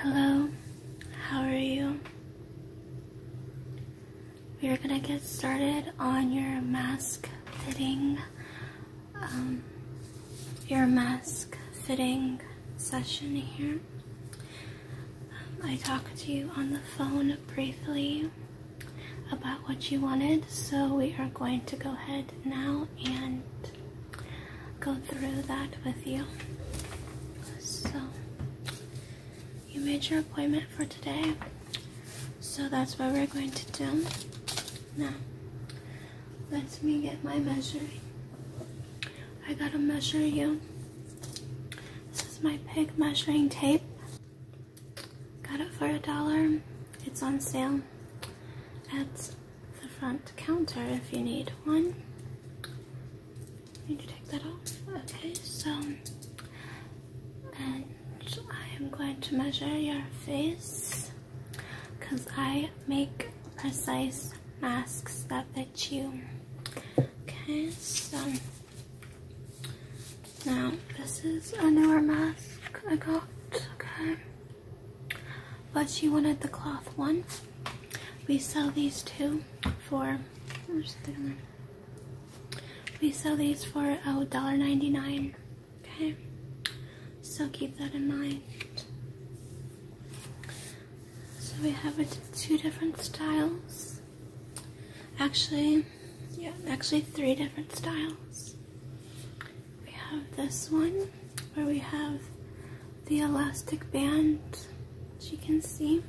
Hello, how are you? We are gonna get started on your mask fitting, um, your mask fitting session here. I talked to you on the phone briefly about what you wanted, so we are going to go ahead now and go through that with you. So, you made your appointment for today, so that's what we're going to do. Now, let me get my measuring. I gotta measure you. This is my pig measuring tape. Got it for a dollar. It's on sale That's the front counter if you need one. I need to take that off. Okay, so and I am going to measure your face because I make precise masks that fit you. Okay, so now this is a newer mask I got. Okay. But she wanted the cloth one. We sell these two for we sell these for oh $1.99. Okay. So keep that in mind. So we have two different styles. Actually, yeah, actually three different styles we have this one where we have the elastic band, which you can see.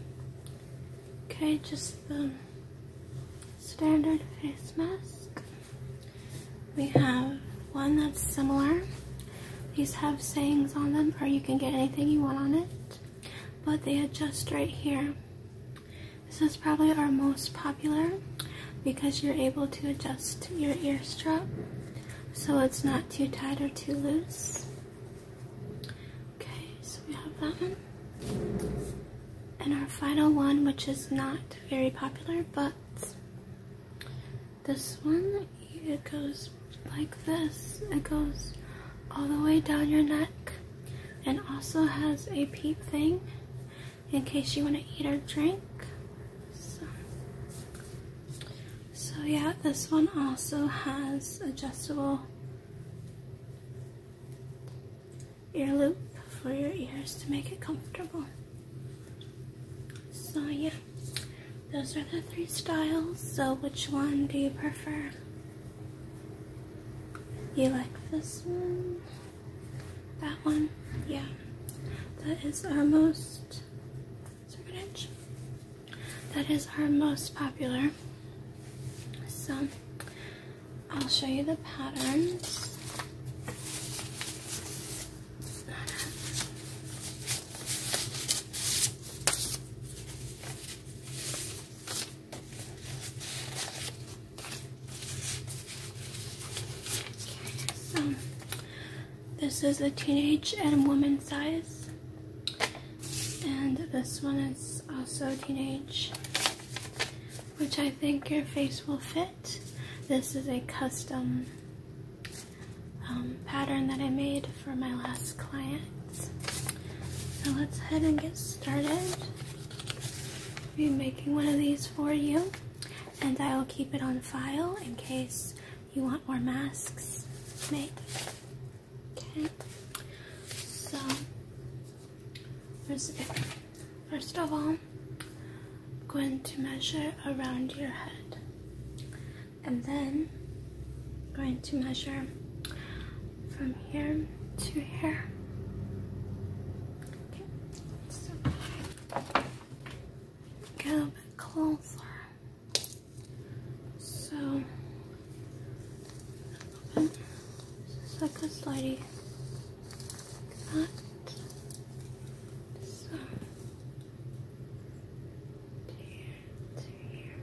Okay, just the standard face mask. We have one that's similar. These have sayings on them, or you can get anything you want on it. But they adjust right here. This is probably our most popular because you're able to adjust your ear strap so it's not too tight or too loose. Okay, so we have that one. And our final one, which is not very popular, but this one, it goes like this. It goes all the way down your neck and also has a peep thing in case you want to eat or drink. So yeah, this one also has adjustable ear loop for your ears to make it comfortable. So yeah, those are the three styles. So which one do you prefer? You like this one? That one? Yeah. That is our most that is our most popular. So I'll show you the patterns. Okay, so this is a teenage and woman size. And this one is also teenage, which I think your face will fit. This is a custom um, pattern that I made for my last client. So let's head and get started. I'll be making one of these for you and I'll keep it on file in case you want more masks make Okay. So first of all, going to measure around your head. And then going to measure from here to here. Okay. So, get a bit closer. So, open. Just like a slidey. Like that. So, to here,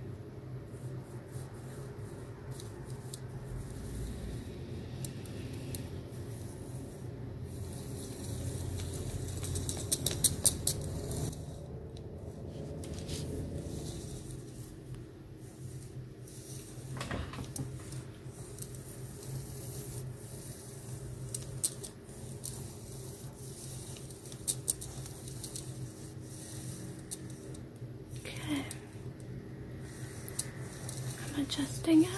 Okay. I'm adjusting it.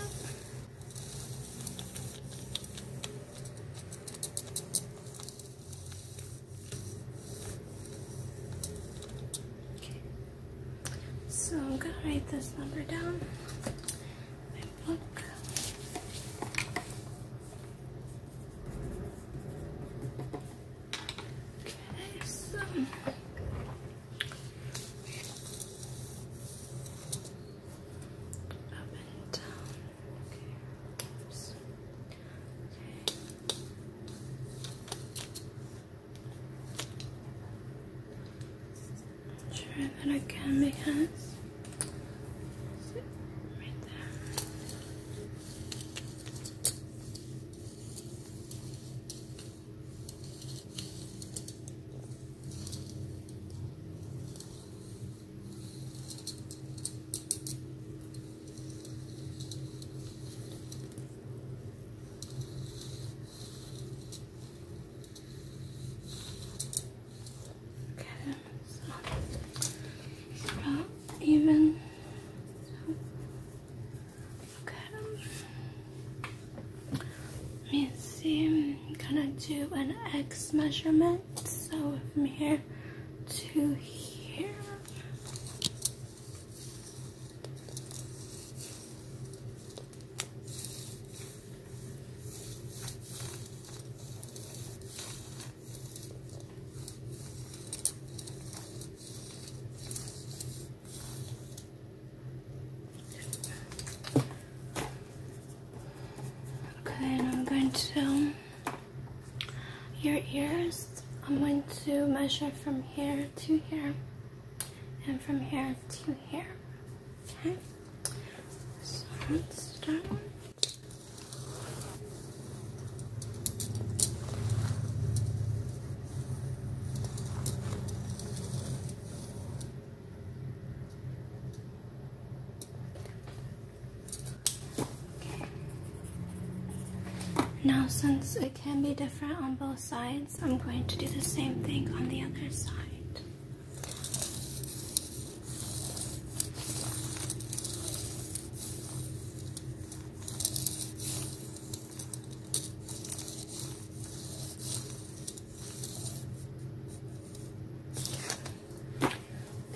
Okay. So I'm gonna write this number down. My book. Okay, so. Up and down. Okay. Try that again because Okay, so it's not even. So, okay. Let me see, I'm gonna do an X measurement. So from here to here. Okay, and I'm going to your ears. I'm going to measure from here to here and from here to here. Okay? So let's start. Now since it can be different on both sides, I'm going to do the same thing on the other side.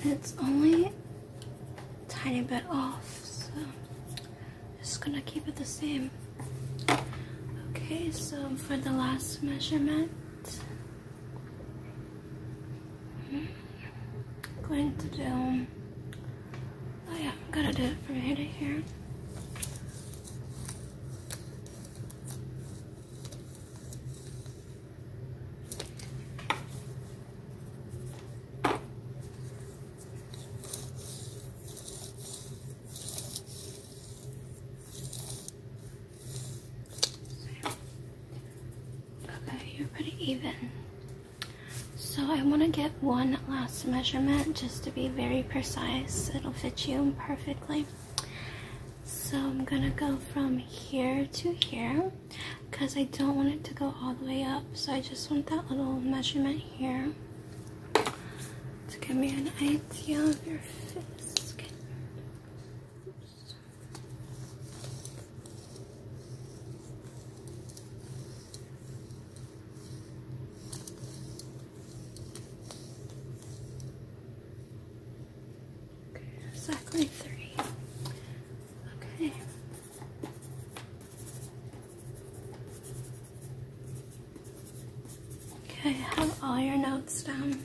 It's only a tiny bit off, so just gonna keep it the same. Okay, so for the last measurement, hmm, going to do, oh yeah, I'm gonna do it from here to here. Okay, you're pretty even. So I want to get one last measurement just to be very precise. It'll fit you perfectly. So I'm gonna go from here to here because I don't want it to go all the way up. So I just want that little measurement here to give me an idea of your fist. Okay, exactly three. Okay. Okay, have all your notes down.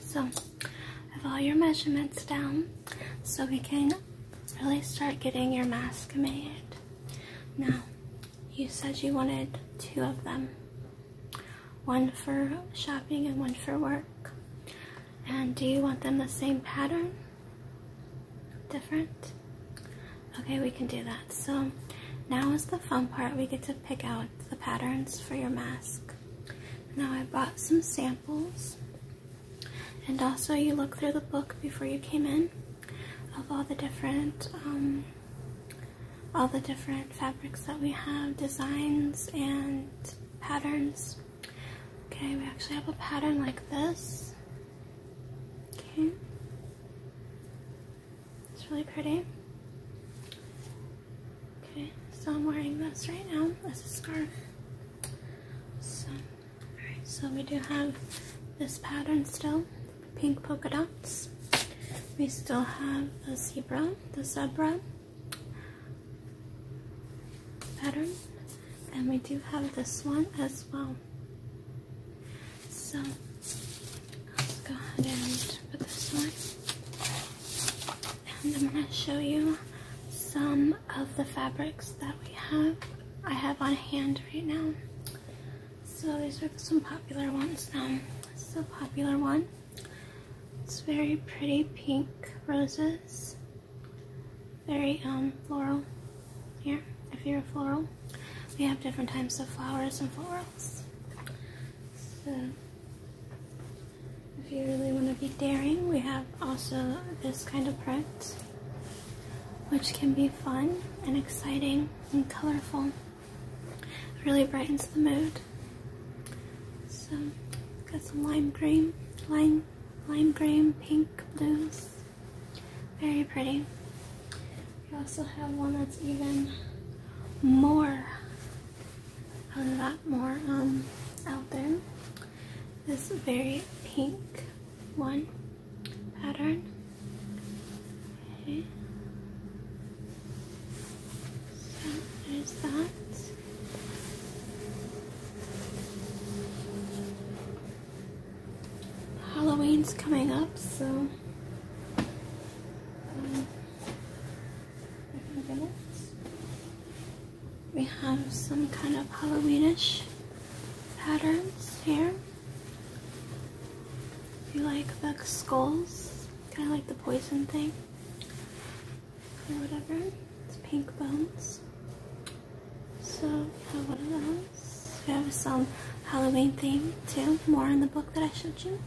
So, have all your measurements down. So we can really start getting your mask made. Now, you said you wanted two of them one for shopping and one for work. And do you want them the same pattern? Different? Okay, we can do that. So now is the fun part. We get to pick out the patterns for your mask. Now I bought some samples. And also you looked through the book before you came in of all the different um, all the different fabrics that we have, designs and patterns. Okay, we actually have a pattern like this. Okay. It's really pretty. Okay, so I'm wearing this right now as a scarf. So, so we do have this pattern still, pink polka dots we still have the zebra, the zebra pattern, and we do have this one as well. So let's go ahead and put this one, and I'm going to show you some of the fabrics that we have. I have on hand right now. So these are some popular ones now. This is a popular one. It's very pretty pink roses. Very um, floral here, if you're a floral. We have different types of flowers and florals. So if you really want to be daring, we have also this kind of print, which can be fun and exciting and colorful. Really brightens the mood. So got some lime green, lime, lime green, pink, blues. Very pretty. We also have one that's even more, a lot more um, out there. This very pink one pattern. Okay. So there's that. Halloween's coming up, so um, we have some kind of Halloweenish patterns here. If you like the skulls Kind of like the poison thing or whatever. It's pink bones. So yeah, one of those. We have some Halloween theme too. More in the book that I showed you.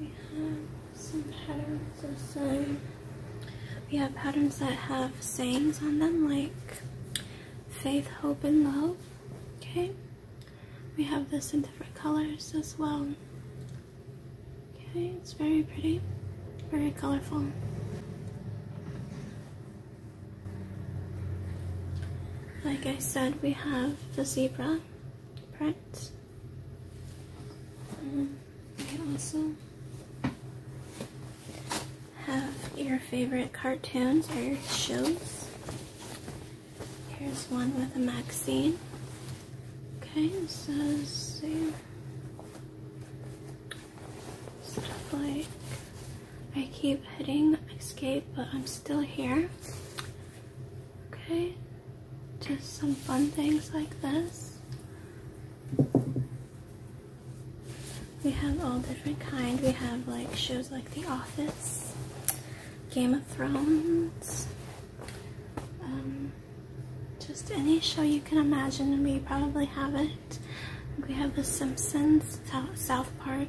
We have some patterns of We have patterns that have sayings on them like faith, hope, and love. Okay. We have this in different colors as well. Okay, it's very pretty, very colorful. Like I said, we have the zebra print. Um, we also have your favorite cartoons or shows. Here's one with a magazine. Okay, this is stuff like I keep hitting escape, but I'm still here. Okay, just some fun things like this. We have all different kind. We have like shows like The Office. Game of Thrones, um, just any show you can imagine, we probably have it. We have The Simpsons, South Park,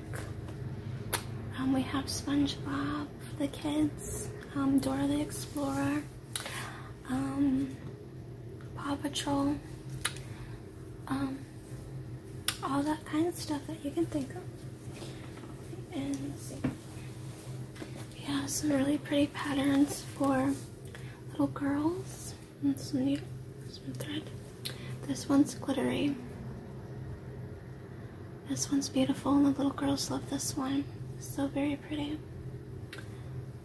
um, we have SpongeBob the kids, um, Dora the Explorer, um, Paw Patrol, all that kind of stuff that you can think of. We have some really pretty patterns for little girls some needle, some thread. This one's glittery. This one's beautiful and the little girls love this one. so very pretty.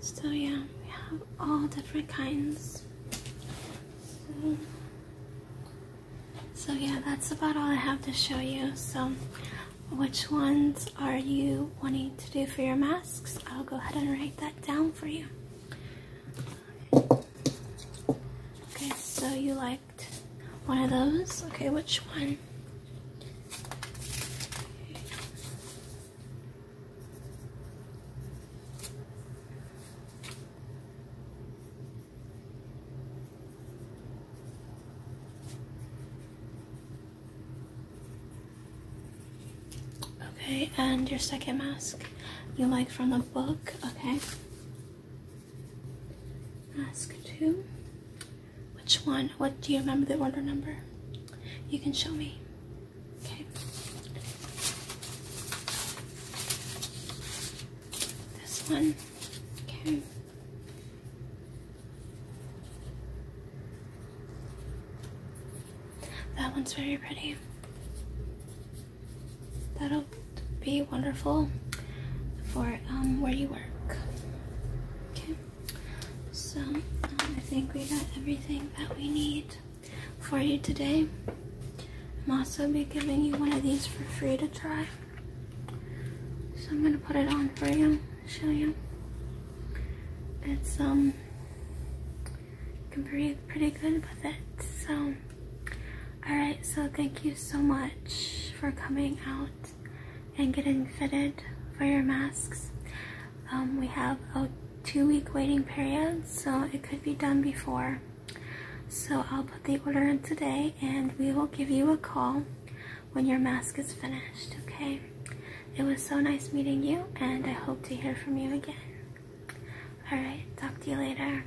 So yeah, we have all different kinds. So yeah, that's about all I have to show you. So which ones are you wanting to do for your masks? I'll go ahead and write that down for you. Okay, so you liked one of those. Okay, which one? Okay, and your second mask you like from the book, okay? Mask two. Which one? What do you remember the order number? You can show me. Okay this one. Okay. That one's very pretty. That'll be wonderful for um, where you work. Okay, so um, I think we got everything that we need for you today. I'm also be giving you one of these for free to try. So I'm gonna put it on for you, show you. It's um, you can breathe pretty good with it. So, all right. So thank you so much for coming out and getting fitted for your masks. Um, we have a two-week waiting period, so it could be done before. So I'll put the order in today and we will give you a call when your mask is finished, okay? It was so nice meeting you and I hope to hear from you again. Alright, talk to you later.